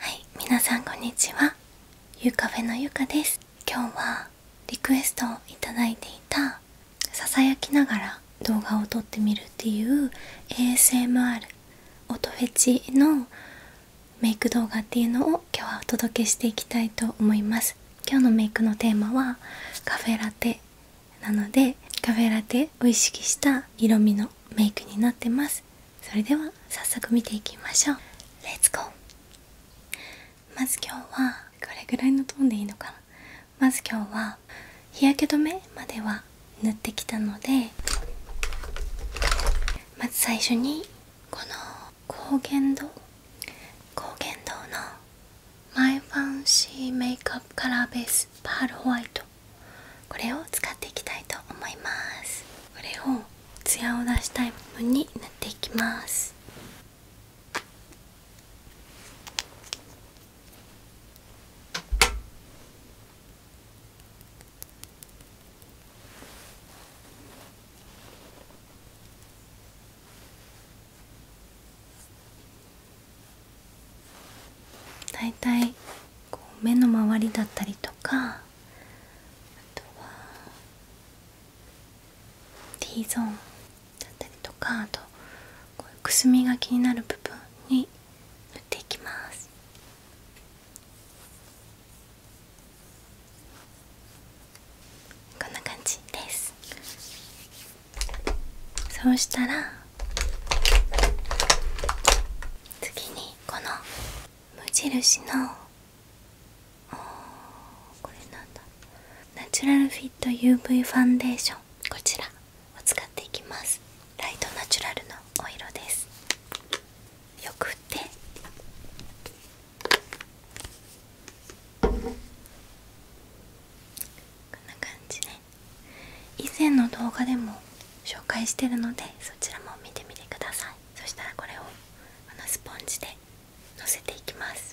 はい、皆さんこんにちは。ゆうフェのゆかです。今日はリクエストをいただいていたささやきながら動画を撮ってみるっていう ASMR 音フェチのメイク動画っていうのを今日はお届けしていきたいと思います今日のメイクのテーマはカフェラテなのでカフェラテを意識した色味のメイクになってますそれでは早速見ていきましょうレッツゴーまず今日はこれぐらいのトーンでいいのかなまず今日は日焼け止めまでは塗ってきたのでまず最初にこの高原堂高原堂のマイファンシーメイクアップカラーベースパールホワイトこれを使っていきたいと思いますこれをツヤを出したい部分に塗っていきます大体こう目の周りだったりとかあとは T ゾーンだったりとかあとこういうくすみが気になる部分に塗っていきますこんな感じですそうしたら次にこの無印のこれなんだナチュラルフィット UV ファンデーションこちらを使っていきますライトナチュラルのお色ですよく振ってこんな感じで。以前の動画でも紹介してるのでそちらも見てみてくださいそしたらこれをこのスポンジでのせていきます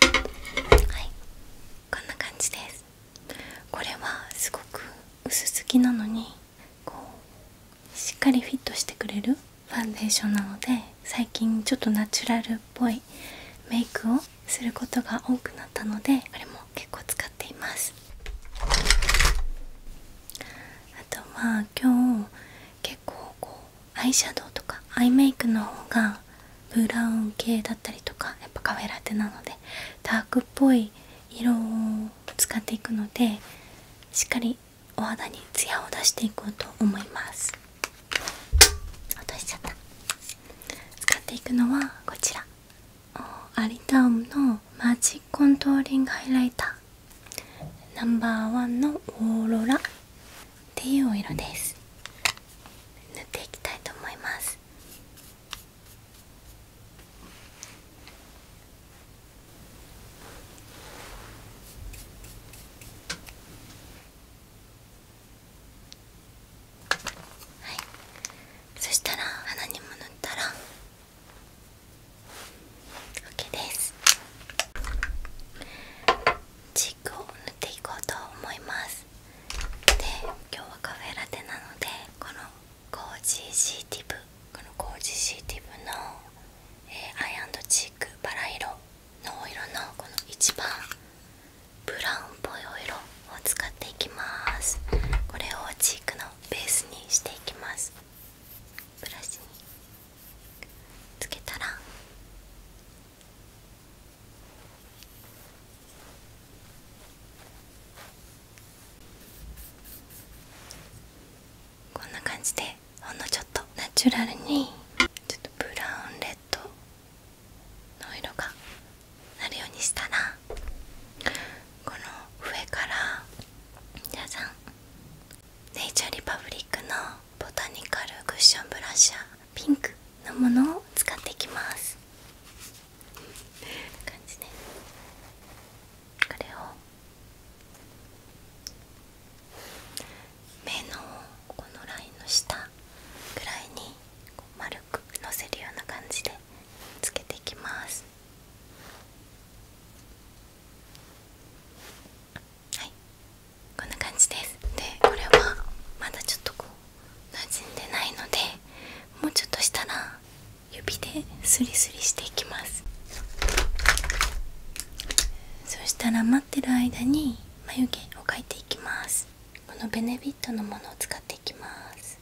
はいこんな感じですこれはすごく薄付きなのにこうしっかりフィットしてくれるファンデーションなので最近ちょっとナチュラルっぽいメイクをすることが多くなったのでこれも結構使っていますあとまあ今日結結構こうアイシャドウとかアイメイクの方がブラウン系だったりとかやっぱカフェラテなのでダークっぽい色を使っていくのでしっかりお肌にツヤを出していこうと思います落としちゃった使っていくのはこちらアリタウムのマジックコントーリングハイライター。ナンバーワンのオーロラっていうお色です塗っていきたいと思いますはいそしたら穴にも塗ったら OK ですチークを塗っていこうと思いますで今日はカフェラテなのでこのコージーシーティブこのコージーシーティブの、えイアンドチークバラ色のお色のこの一番ブラウンっぽいお色を使っていきますこれをチークのベースにしていきますブラシにつけたらこんな感じでほんのちょっとナチュラルにブラウンレッドの色がなるようにしたらこの上から皆さんネイチャーリパブリックのボタニカルクッションブラシャーピンクのものを使っていきますこんな感じねこれを目のこのラインの下ぐらいに丸くのせるような感じでつけていきますはいこんな感じですでこれはまだちょっとこう馴染んでないのでもうちょっとしたら指でスリスリしていきますそしたら待ってる間に眉毛を描いていきますこのベネビットのものを使っていきます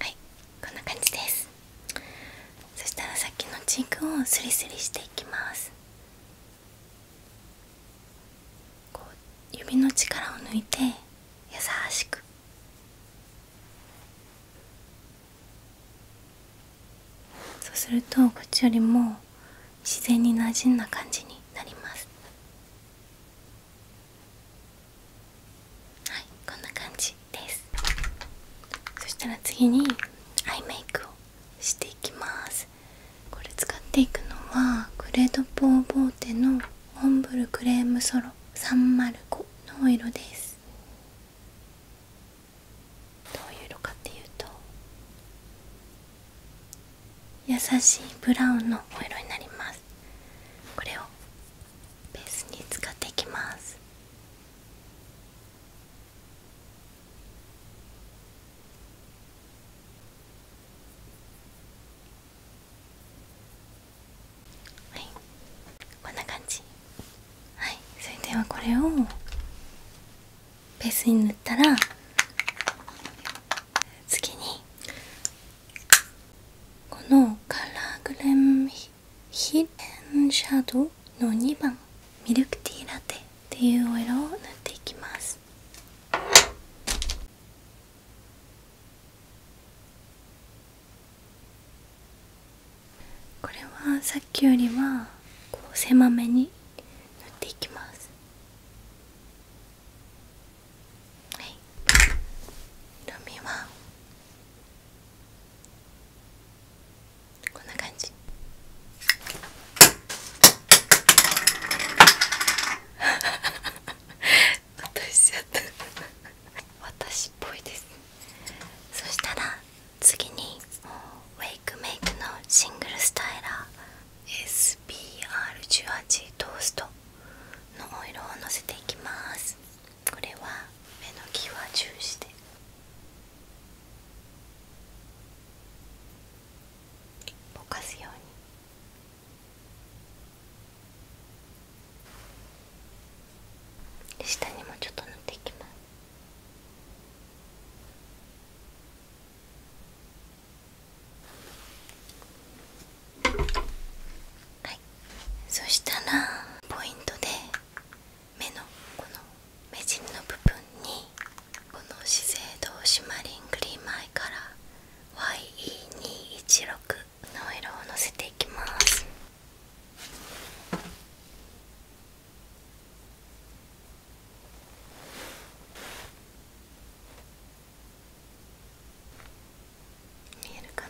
はいこんな感じですそしたらさっきのチークをスリスリしていきますこう指の力を抜いて優しくそうするとこっちよりも自然になじんだ感じになりますはいこんな感じですそしたら次にアイメイクをしていきますこれ使っていくのはグレードポーボーテのオンブルクレームソロ305のお色ですどういう色かっていうと優しいブラウンのお色になりますこれをベースに使っていきますはいこんな感じはいそれではこれをベースに塗ったら次にこのカラーグレームヒデンシャドウの2番ミルクティーラテっていうお色を塗っていきますこれはさっきよりはこう狭めに塗っていきますはい色味はこんな感じ私しちゃった私っぽいですそしたら次にウェイクメイクのシングルスタイラー SBR18 トーストのオイルをのせていきますこれは目の際重視でぼかすように。下にもちょっと塗っていきますはいそしたらポイントで目のこの目尻の部分にこの資生堂シマリングリームアイカラー YE216 の色をのせていきますこ見えるか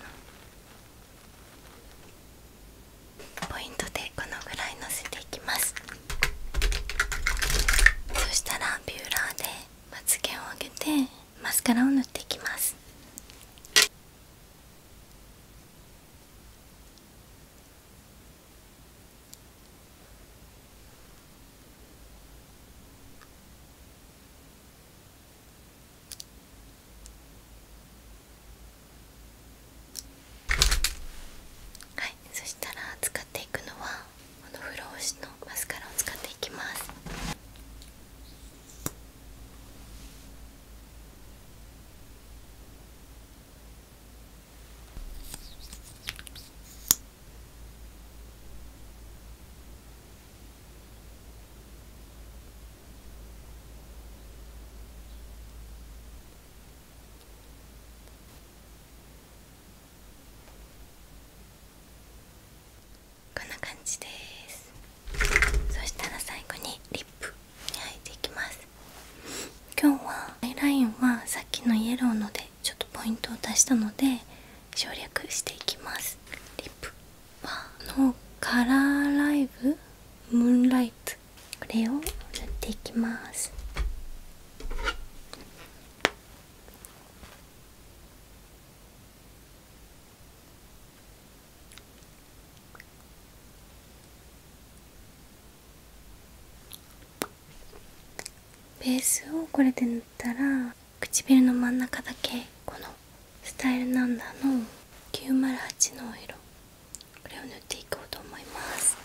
なポイントでこのぐらいのせていきますそしたらビューラーでまつ毛を上げてマスカラを塗っていきますはいそしたら使っていくのはこのフローシのマスカラを使っていきますこんな感じですそしたら最後にリップに入っていきます今日はアイラインはさっきのイエローのでちょっとポイントを足したので省略していきますリップのカラーライブムーンライトこれを塗っていきますベースをこれで塗ったら唇の真ん中だけこのスタイルナンダーの908のお色これを塗っていこうと思います「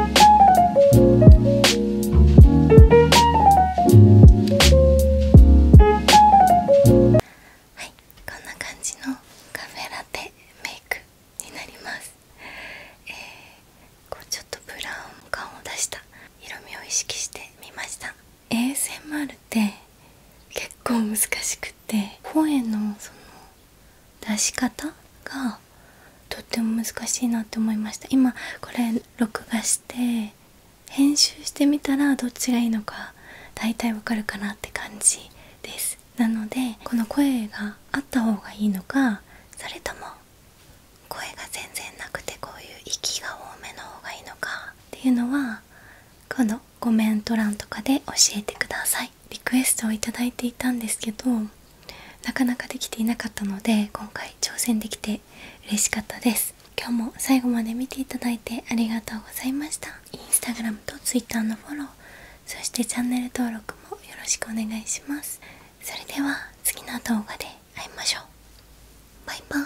はいこんな感じのカフェラテメイクになりますえこうちょっとブラウン感を出した色味を意識してみました衛 s m r って結構難しくて声のその出し方がとっても難しいなって思いました今これ録画して編集してみたらどっちがいいのか大体わかるかなって感じですなのでこの声があった方がいいのかそれとも声が全然なくてこういう息が多めの方がいいのかっていうのはこのコメント欄とかで教えてくださいリクエストを頂いていたんですけどなかなかできていなかったので今回挑戦できて嬉しかったです今日も最後まで見ていただいてありがとうございました instagram とツイッターのフォローそしてチャンネル登録もよろしくお願いしますそれでは次の動画で会いましょうバイバーイ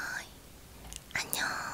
アンニョー